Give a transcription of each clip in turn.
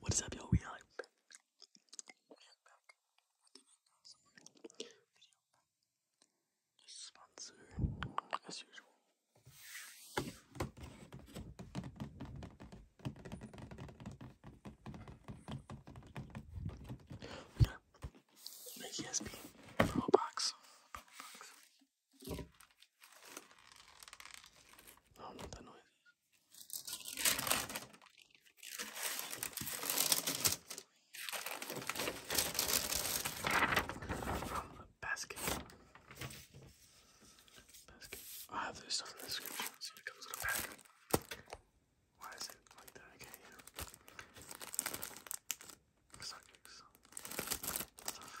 What is up, y'all? We are back. We are back with as usual. We got the ESP Pro Box. Pro not know noise from the basket. Basket. I'll have this stuff in the description so it comes in a pack. Why is it like that? I can't hear. Subjects. Stuff.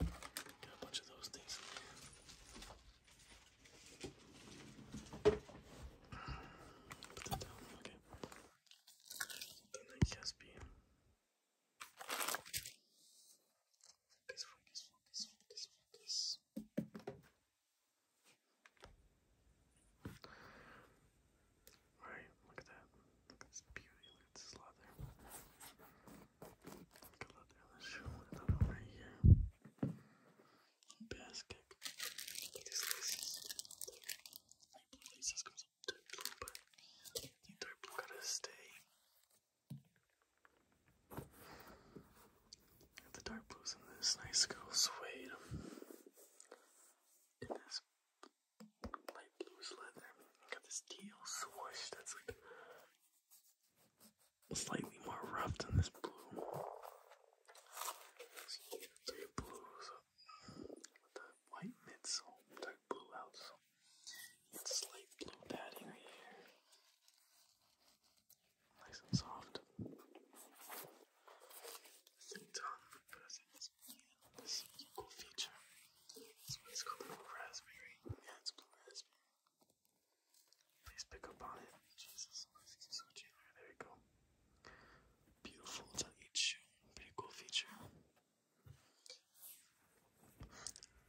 Got a bunch of those things Put that down, okay. Then I guess be focus, focus, focus, focus, focus. Alright, look at that. Look at this beauty, look at this leather. Good luck show with right here. Basket. Look at these laces. I believe these dark blue, but I dark blue gotta stay. Got the dark blues in this nice girl suede. In this light blue leather. Got this teal swoosh that's like slightly more rough than this blue. So you get the white midsole, dark blue outsole. slight blue padding right here. Nice and soft. Same time, but I equal feature Please pick up on it. Jesus, I keep switching there. There we go. Beautiful. It's on Pretty cool feature.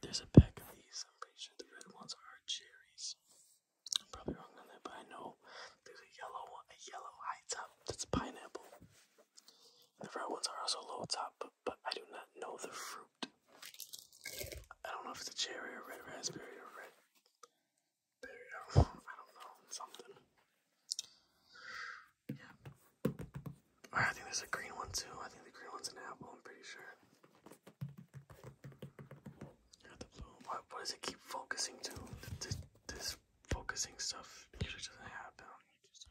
There's a pack of these. I'm pretty sure the red ones are cherries. I'm probably wrong on that, but I know there's a yellow one, a yellow high top that's pineapple. The red ones are also low top, but, I do not know the fruit. I don't know if it's a cherry or red raspberry or red berry. I do I don't know. Something. Yeah. I think there's a green one too. I think the green one's an apple, I'm pretty sure. What, what does it keep focusing to? This, focusing stuff usually doesn't happen. Just do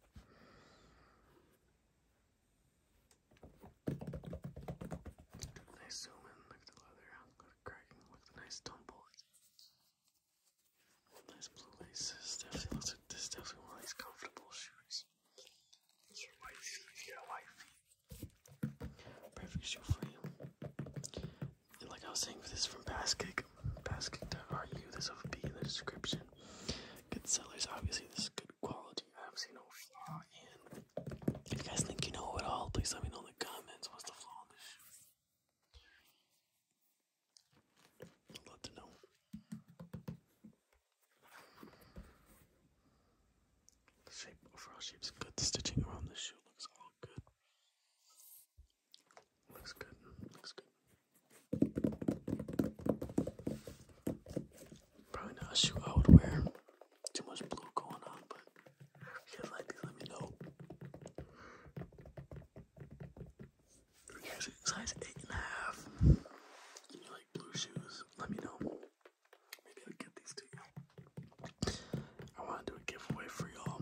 Nice zoom look at the leather, look at the cracking, look at the nice tumble. Nice blue laces. Definitely looks Definitely one of these comfortable shoes. white feet. If white feet, perfect shoe for you. like I was saying, this is from Basket Baskington argued this would be the description. Good sellers, obviously, this is good quality. I have seen no flaw in. If you guys think you know at all, please let me know in the comments what's the flaw in this shoe. I'd love to know. The shape, overall shape's good. The stitching around the shoe looks all good. Looks good. Looks good. Probably not a shoe I would wear. Too much blue going on, but if you guys like these, let me know. size eight and a half. You like blue shoes? Let me know. Maybe I'll get these to you. I want to do a giveaway for y'all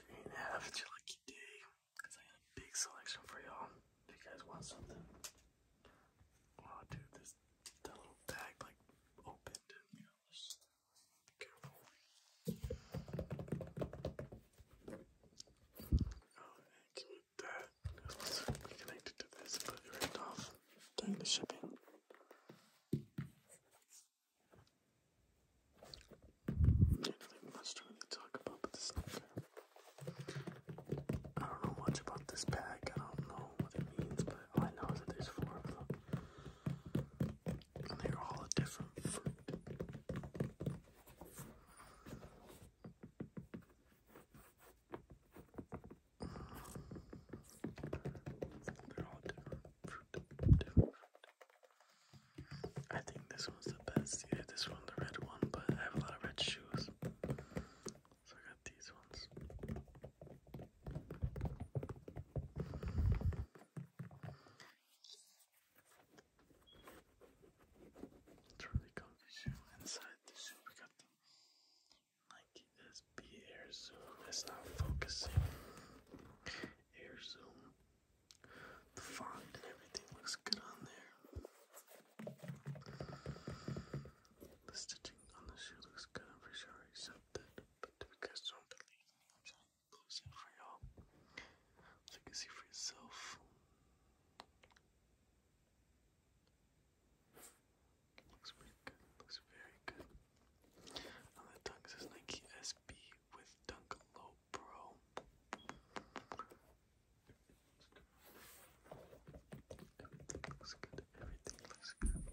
guys are gonna have your lucky day. Cause I got a big selection for y'all. If you guys want something. Oh dude, this little bag like opened be careful. Oh and keep that it's connected to this, but it ripped off during the shipping. I don't know much about this pack. I don't know what it means, but all I know is that there's four of them, and they're all a different fruit. They're all different. I think this one's the best. Yeah, this one, the red one, but I have a lot of red shoes. So I got these ones. It's really comfy shoe. Inside the shoe we got the like this be air zoom. It's not focusing. Air zoom. The font and everything looks good on there. The stitching on the shoe looks good, I'm pretty sure I But if you guys do I'm trying to close it for y'all. So you can see for yourself. Looks pretty good. Looks very good. On the tongue says Nike SB with Dunk Low Pro. Everything looks good. Everything looks good.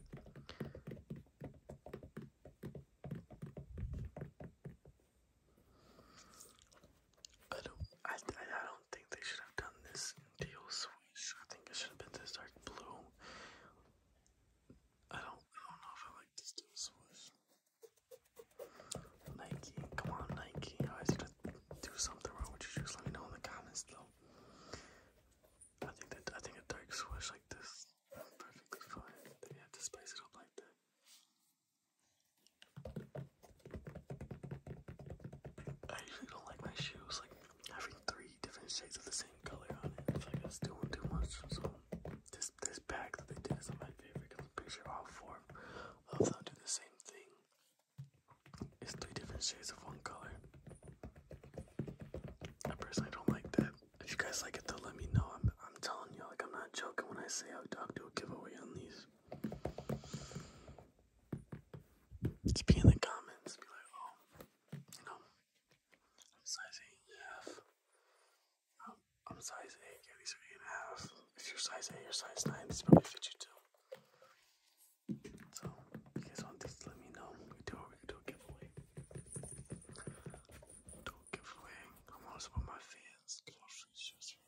I don't. I, I, don't think they should have done this teal switch. I think it should have been this dark blue I don't, I don't know if I like this dude with Nike. Come on, Nike. I was do something wrong with your shoes. Let me know in the comments, though. I think that I think a dark swish like this is perfectly fine. They have to spice it up like that. I usually don't like my shoes like having three different shades of the same color on it. I feel like that's doing too much. So this this pack that they did is my favorite because I'm picture all four of them do the same thing. It's three different shades of one color. I personally don't like that. If you guys like it though, let me know. I'm I'm telling you, like I'm not joking when I say I'll do a giveaway on these. Just be in the comments, be like, oh, I'm size 8 I'm size 8, yeah, these are 8 and a half. If you're size 8 or size 9, these probably fit you too. So, if you guys want these, let me know. We do we do a giveaway. Do a giveaway. I'm also on my fans. Close shoes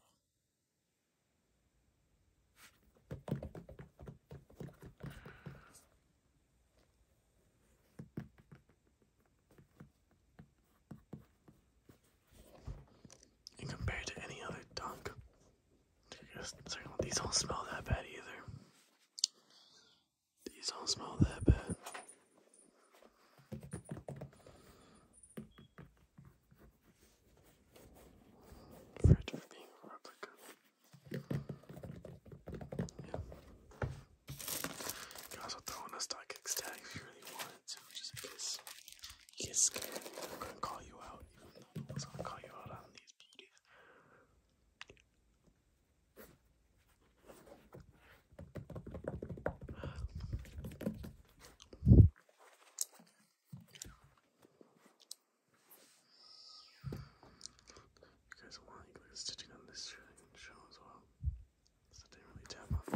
and compared to any other dunk, these don't smell that bad either. These don't smell that bad. Fridge of being a replica. Yeah. You can also a star tag if you really wanted to, just in case you scared. I'm going to call you out, even though going to call you out on these beauties. You guys want you guys stitching on this show as well. So they really tap off.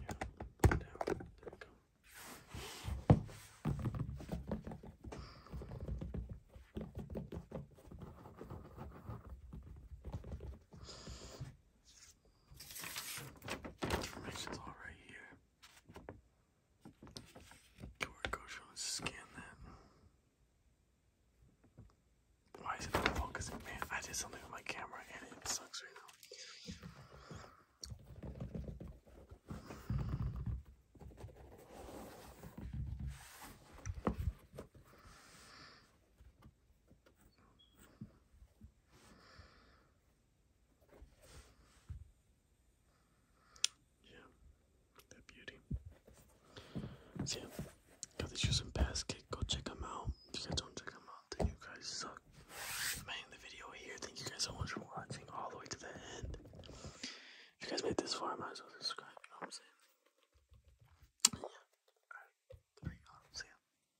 Yeah, down. There we go. Information's all right here. QR code show scan that. Why is it not focusing? Man, I did something with my camera and it sucks right now. Yeah, that beauty. So got these shoes in basket. Go check them out. you guys don't check them out, then you guys suck. ending the video here. Thank you guys so much for watching all the way to the end. If you guys made this far, I might as well subscribe. You know what I'm saying? Yeah. All right. See ya.